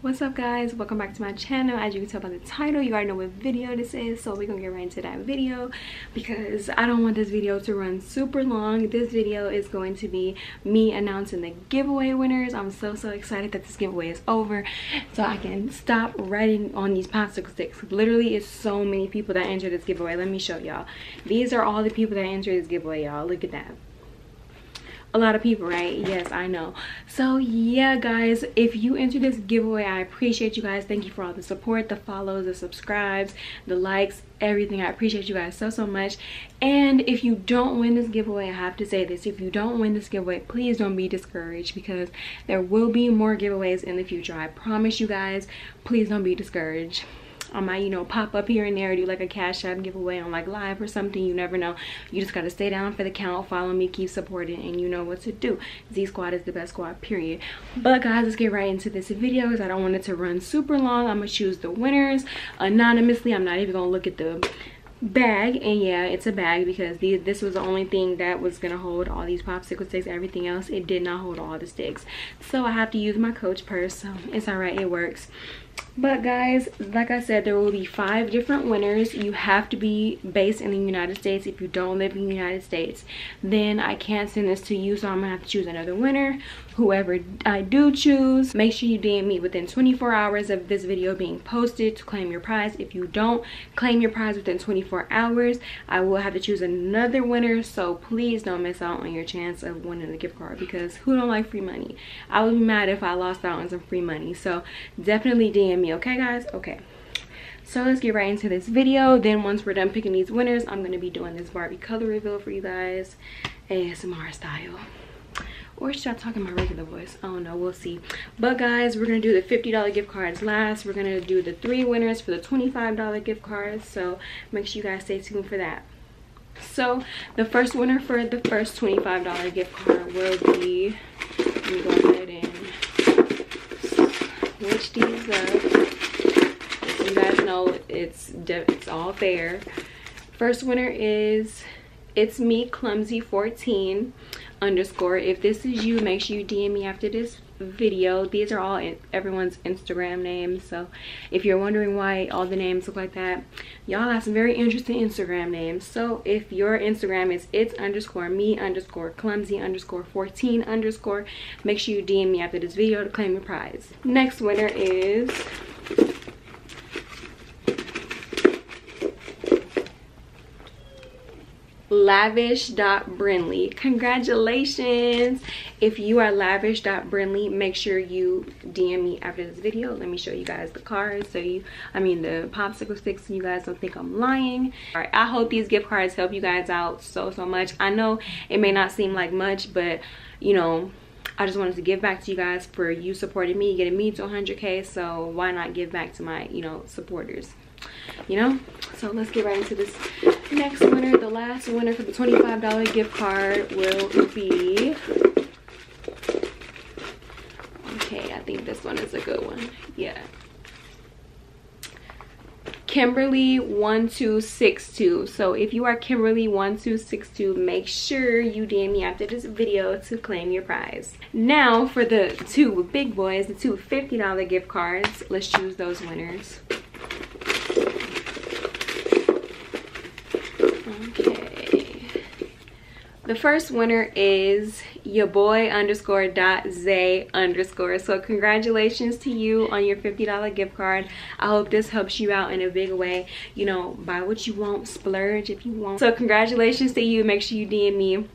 what's up guys welcome back to my channel as you can tell by the title you already know what video this is so we're gonna get right into that video because i don't want this video to run super long this video is going to be me announcing the giveaway winners i'm so so excited that this giveaway is over so i can stop writing on these popsicle sticks literally it's so many people that entered this giveaway let me show y'all these are all the people that entered this giveaway y'all look at that a lot of people right yes i know so yeah guys if you enter this giveaway i appreciate you guys thank you for all the support the follows the subscribes the likes everything i appreciate you guys so so much and if you don't win this giveaway i have to say this if you don't win this giveaway please don't be discouraged because there will be more giveaways in the future i promise you guys please don't be discouraged I might, you know, pop up here and there, do like a cash app giveaway on like live or something. You never know. You just gotta stay down for the count, follow me, keep supporting, and you know what to do. Z Squad is the best squad, period. But guys, let's get right into this video because I don't want it to run super long. I'm gonna choose the winners anonymously. I'm not even gonna look at the bag and yeah it's a bag because this was the only thing that was gonna hold all these popsicle sticks everything else it did not hold all the sticks so i have to use my coach purse so it's all right it works but guys like i said there will be five different winners you have to be based in the united states if you don't live in the united states then i can't send this to you so i'm gonna have to choose another winner whoever i do choose make sure you dm me within 24 hours of this video being posted to claim your prize if you don't claim your prize within 24 hours i will have to choose another winner so please don't miss out on your chance of winning the gift card because who don't like free money? I would be mad if I lost out on some free money. So definitely DM me, okay guys? Okay. So let's get right into this video. Then once we're done picking these winners, I'm going to be doing this Barbie color reveal for you guys. ASMR style. Or should I talk in my regular voice? Oh no, We'll see. But guys, we're going to do the $50 gift cards last. We're going to do the three winners for the $25 gift cards. So make sure you guys stay tuned for that so the first winner for the first $25 gift card will be let me go ahead and switch these up you guys know it's it's all fair first winner is it's me clumsy 14 underscore if this is you make sure you dm me after this video these are all everyone's instagram names so if you're wondering why all the names look like that y'all have some very interesting instagram names so if your instagram is it's underscore me underscore clumsy underscore 14 underscore make sure you dm me after this video to claim your prize next winner is lavish dot brinley. congratulations if you are lavish dot brinley, make sure you DM me after this video. Let me show you guys the cards so you, I mean the popsicle sticks so you guys don't think I'm lying. All right, I hope these gift cards help you guys out so, so much. I know it may not seem like much, but you know, I just wanted to give back to you guys for you supporting me, getting me to 100K. So why not give back to my, you know, supporters, you know? So let's get right into this next winner. The last winner for the $25 gift card will be Okay, I think this one is a good one. Yeah. Kimberly1262. So if you are Kimberly1262, make sure you DM me after this video to claim your prize. Now for the two big boys, the two $50 gift cards. Let's choose those winners. Okay. The first winner is your boy underscore dot z underscore. So congratulations to you on your $50 gift card. I hope this helps you out in a big way. You know, buy what you want, splurge if you want. So congratulations to you. Make sure you DM me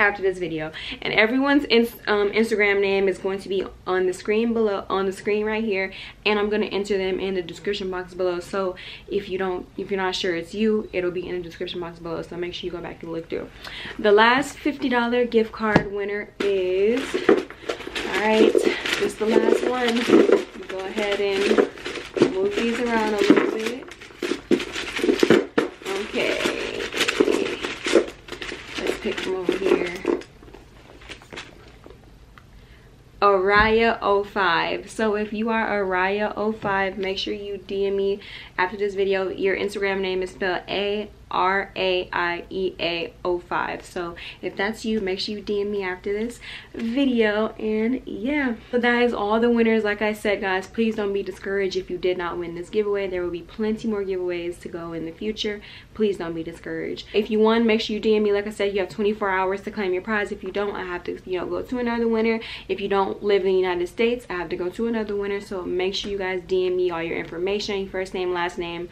after this video and everyone's um, instagram name is going to be on the screen below on the screen right here and i'm going to enter them in the description box below so if you don't if you're not sure it's you it'll be in the description box below so make sure you go back and look through the last 50 dollar gift card winner is all right this the last one go ahead and move these around a little bit okay let's pick them over here Araya05. So if you are Araya05, make sure you DM me after this video. Your Instagram name is spelled A R A I E A 05. So if that's you, make sure you DM me after this video. And yeah, so that is all the winners. Like I said, guys, please don't be discouraged if you did not win this giveaway. There will be plenty more giveaways to go in the future. Please don't be discouraged. If you won, make sure you DM me. Like I said, you have 24 hours to claim your prize. If you don't, I have to to you know go to another winner if you don't live in the united states i have to go to another winner, so make sure you guys dm me all your information first name last name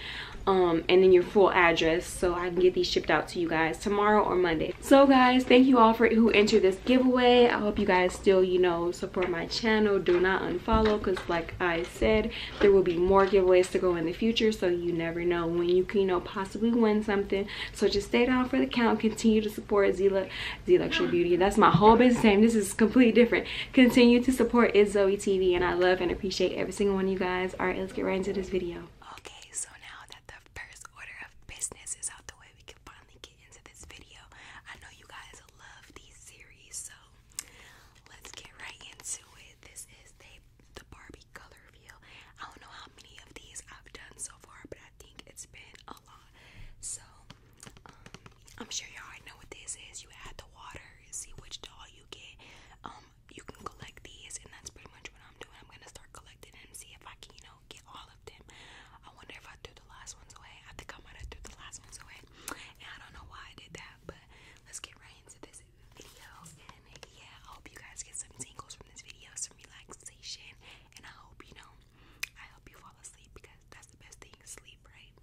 um, and then your full address so I can get these shipped out to you guys tomorrow or Monday. So guys, thank you all for who entered this giveaway. I hope you guys still, you know, support my channel. Do not unfollow because like I said, there will be more giveaways to go in the future. So you never know when you can, you know, possibly win something. So just stay down for the count. Continue to support Zila, Z Luxury Beauty. That's my whole business name. This is completely different. Continue to support Is Zoe TV, and I love and appreciate every single one of you guys. All right, let's get right into this video. Okay, so now that the first order of business is out the way, we can finally get into this video. I know you guys love these series, so let's get right into it. This is the the Barbie color feel. I don't know how many of these I've done so far, but I think it's been a lot. So, um, I'm sure y'all already know what this is. You add the water, see which doll you get. Um, you can collect these, and that's pretty much what I'm doing. I'm gonna start collecting them, see if I can, you know, get all of them. I wonder if I threw the last ones away. I think I might have threw the last ones away, and I don't know why I did that, but let's get right into this yeah, I hope you guys get some tingles from this video, some relaxation. And I hope you know, I hope you fall asleep because that's the best thing sleep, right?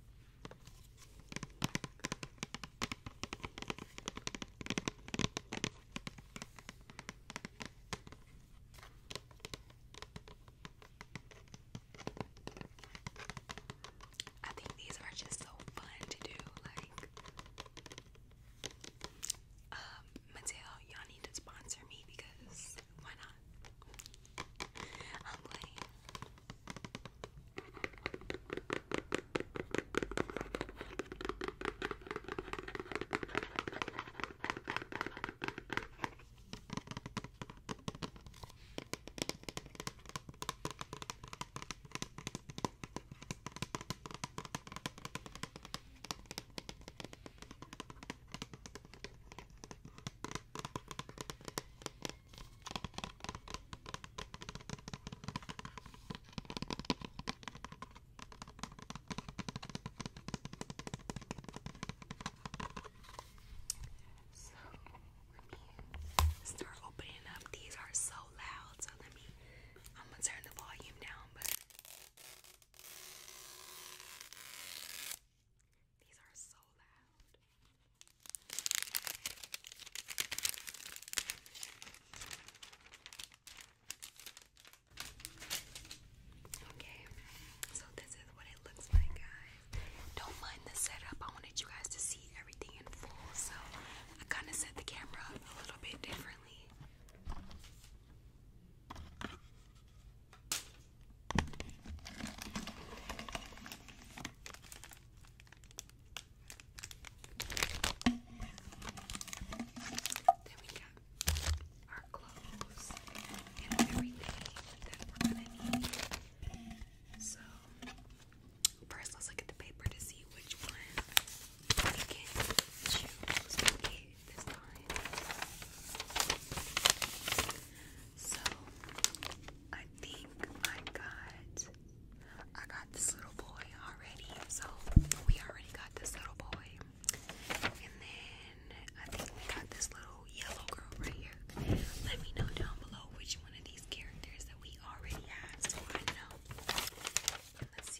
I think these are just so fun to do, like um, Mateo, y'all need to sponsor me because why not? So let me start opening up. These are so loud, so let me I'm gonna turn the volume down, but these are so loud. Okay, so this is what it looks like, guys. Don't mind the setup. I wanted you guys to see everything in full, so I kind of set the camera a little bit differently. Then we got our clothes and everything that we're gonna need. So first let's look at the paper to see which one so I think I got I got this little boy already. So we already got this little boy. And then I think we got this little yellow girl right here. Let me know down below which one of these characters that we already have so I know. let's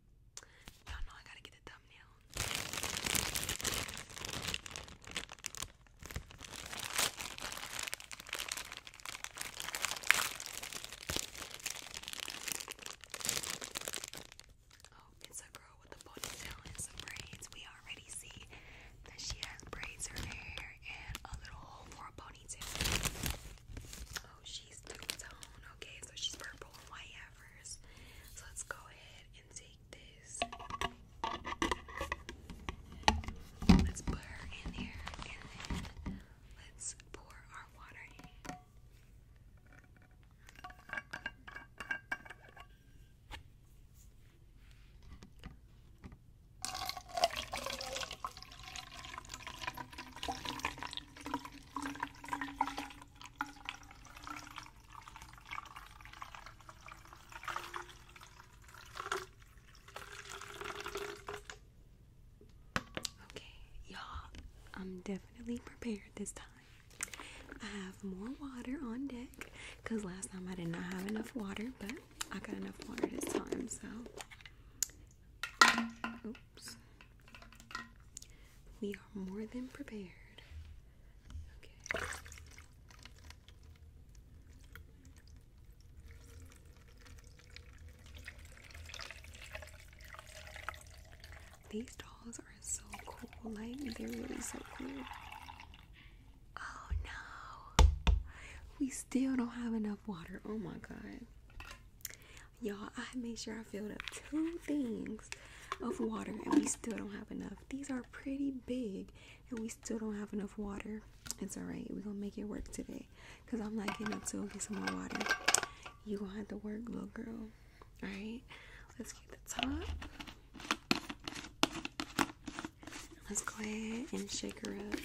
Y'all know I gotta get the thumbnail. Oh, it's a girl with a ponytail and some braids. We already see that she has braids her hair and a little hole for a ponytail. Oh, she's two tone. Okay, so she's purple and white first. So let's go ahead and take this. Let's put her in there and then let's pour our water in. Okay, y'all, I'm definitely prepared this time. I have more water on deck because last time I did not have enough water, but I got enough water this time, so. Oops. We are more than prepared. Okay. These dolls are so cool. Like, they're really so cool. Oh no. We still don't have enough water. Oh my god y'all i made sure i filled up two things of water and we still don't have enough these are pretty big and we still don't have enough water it's all right we're gonna make it work today because i'm not getting up to get some more water you gonna have to work little girl all right let's get the top let's go ahead and shake her up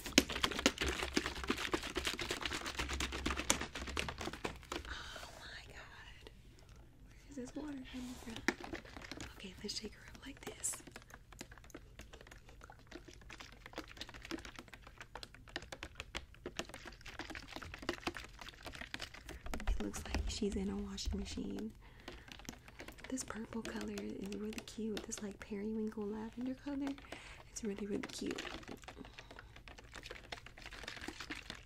Oh my god. Where is this water coming from? Okay, let's shake her up like this. It looks like she's in a washing machine. This purple color is really cute. This like periwinkle lavender color. It's really really cute.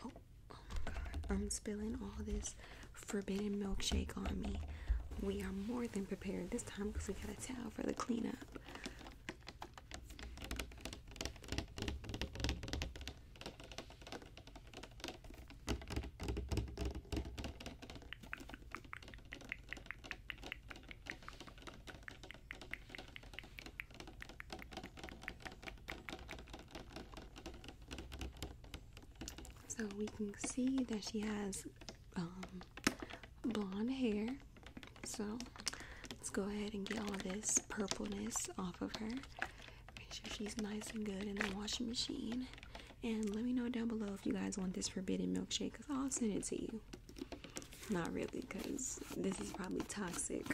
Oh, oh my god. I'm spilling all this forbidden milkshake on me. We are more than prepared this time because we got a towel for the cleanup. So we can see that she has um, blonde hair. So let's go ahead and get all this purpleness off of her. Make sure she's nice and good in the washing machine. And let me know down below if you guys want this forbidden milkshake because I'll send it to you. Not really, because this is probably toxic.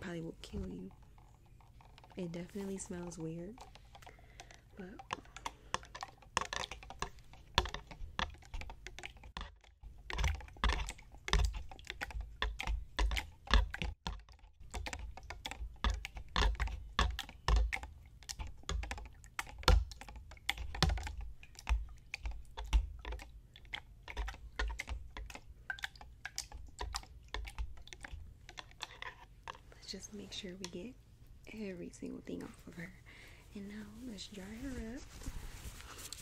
probably will kill you. It definitely smells weird. But Let's just make sure we get every single thing off of her. And now let's dry her up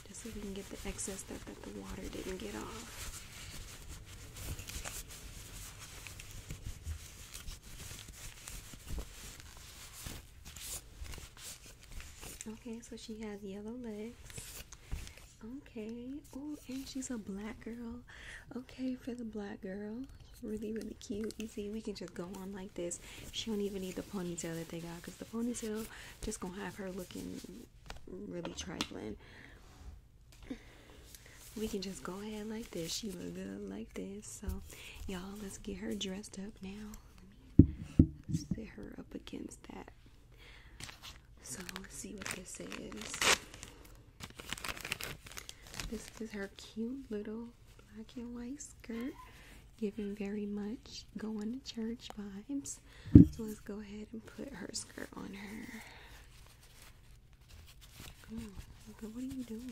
just so we can get the excess stuff that the water didn't get off. Okay, so she has yellow legs. Okay. Oh, and she's a black girl. Okay, for the black girl. Really, really cute. You see, we can just go on like this. She don't even need the ponytail that they got because the ponytail just gonna have her looking really trifling. We can just go ahead like this. She look good like this. So, y'all, let's get her dressed up now. Let me set her up against that so let's see what this is. This is her cute little black and white skirt, giving very much going to church vibes. So let's go ahead and put her skirt on her. what are you doing?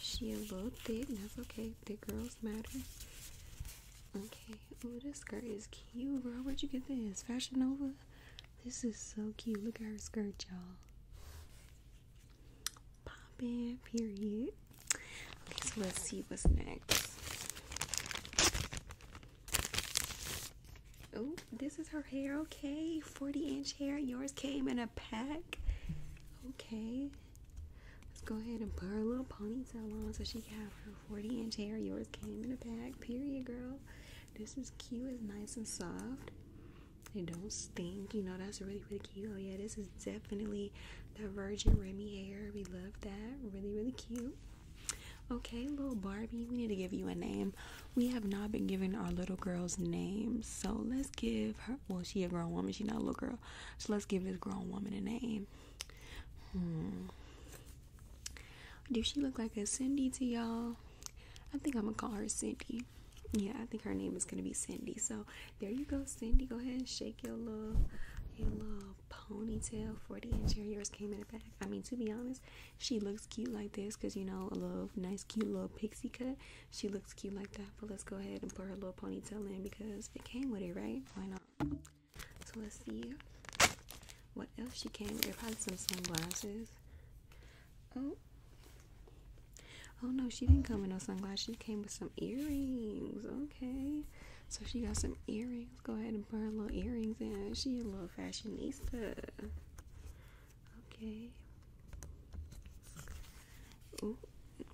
She a little bit that's okay like girls matter. Okay. Oh, this skirt is cute, bro. Where'd you get this? Fashion Nova? This is so cute. Look at her skirt, y'all. Pop it. period. Okay, so let's see what's next. Oh, this is her hair. Okay, 40 inch hair. Yours came in a pack. Okay, Let's go ahead and put her little ponytail on so she can have her 40 inch hair. Yours came in a pack, Period, girl. This is cute. It's nice and soft. It don't stink. You know, that's really, really cute. Oh, yeah, this is definitely the Virgin Remy hair. We love that. Really, really cute. Okay, little Barbie, we need to give you a name. We have not been giving our little girls names, so let's give her. Well, she a grown woman, she not a little girl. So let's give this grown woman a name. Hmm. Do she look like a Cindy to y'all? I think I'm gonna call her Cindy. Yeah, I think her name is gonna be Cindy. So there you go, Cindy. Go ahead and shake your little your little ponytail 40 inch hair yours came in the back i mean to be honest she looks cute like this because you know a little nice cute little pixie cut she looks cute like that example, let's go ahead and put her little ponytail in because it came with it, right? Why not? So let's see what else she came with. Probably some sunglasses. Oh. Oh no, she didn't come with no sunglasses. She came with some earrings. Okay. So she got some earrings. Go ahead and put her little earrings in. She a little fashionista. Okay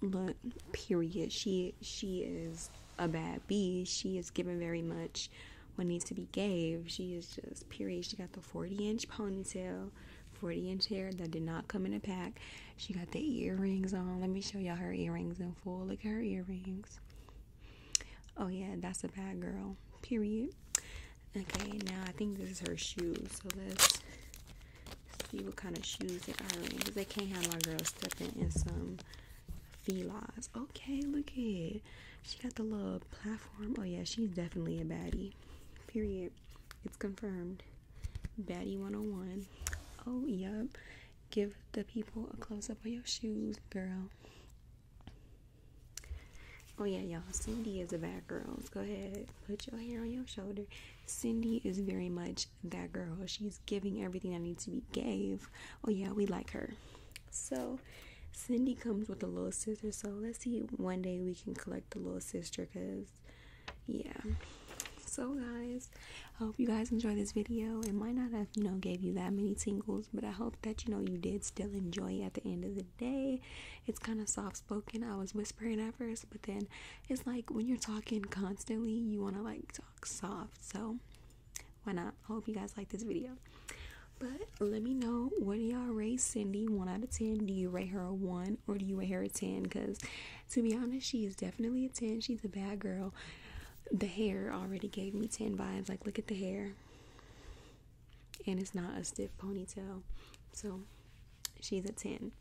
look period she she is a bad bee she is given very much what needs to be gave she is just period she got the 40 inch ponytail 40 inch hair that did not come in a pack she got the earrings on let me show y'all her earrings in full look at her earrings oh yeah that's a bad girl period okay now i think this is her shoes. so let's see what kind of shoes they are in because they can't have my girl stepping in some felines. Okay, look at she got the little platform. Oh yeah, she's definitely a baddie. Period. It's confirmed. Baddie 101. Oh, oh yep. Give the people a close up on your shoes, girl. Oh yeah, y'all. Cindy is a bad girl. go ahead. Put your hair on your shoulder. Cindy is very much that girl. She's giving everything that needs to be gave. Oh yeah, we like her. So Cindy comes with a little sister. So let's see one day we can collect the little sister because yeah. So guys, I hope you guys enjoyed this video. It might not have, you know, gave you that many tingles, but I hope that you know you did still enjoy it at the end of the day. It's kind of soft spoken. I was whispering at first, but then it's like when you're talking constantly, you want to like talk soft. So, why not? I hope you guys like this video. But let me know what do y'all rate Cindy? One out of ten. Do you rate her a one or do you rate her a ten? Because to be honest, she is definitely a ten. She's a bad girl. The hair already gave me ten vibes. Like look at the hair, and it's not a stiff ponytail. So she's a ten.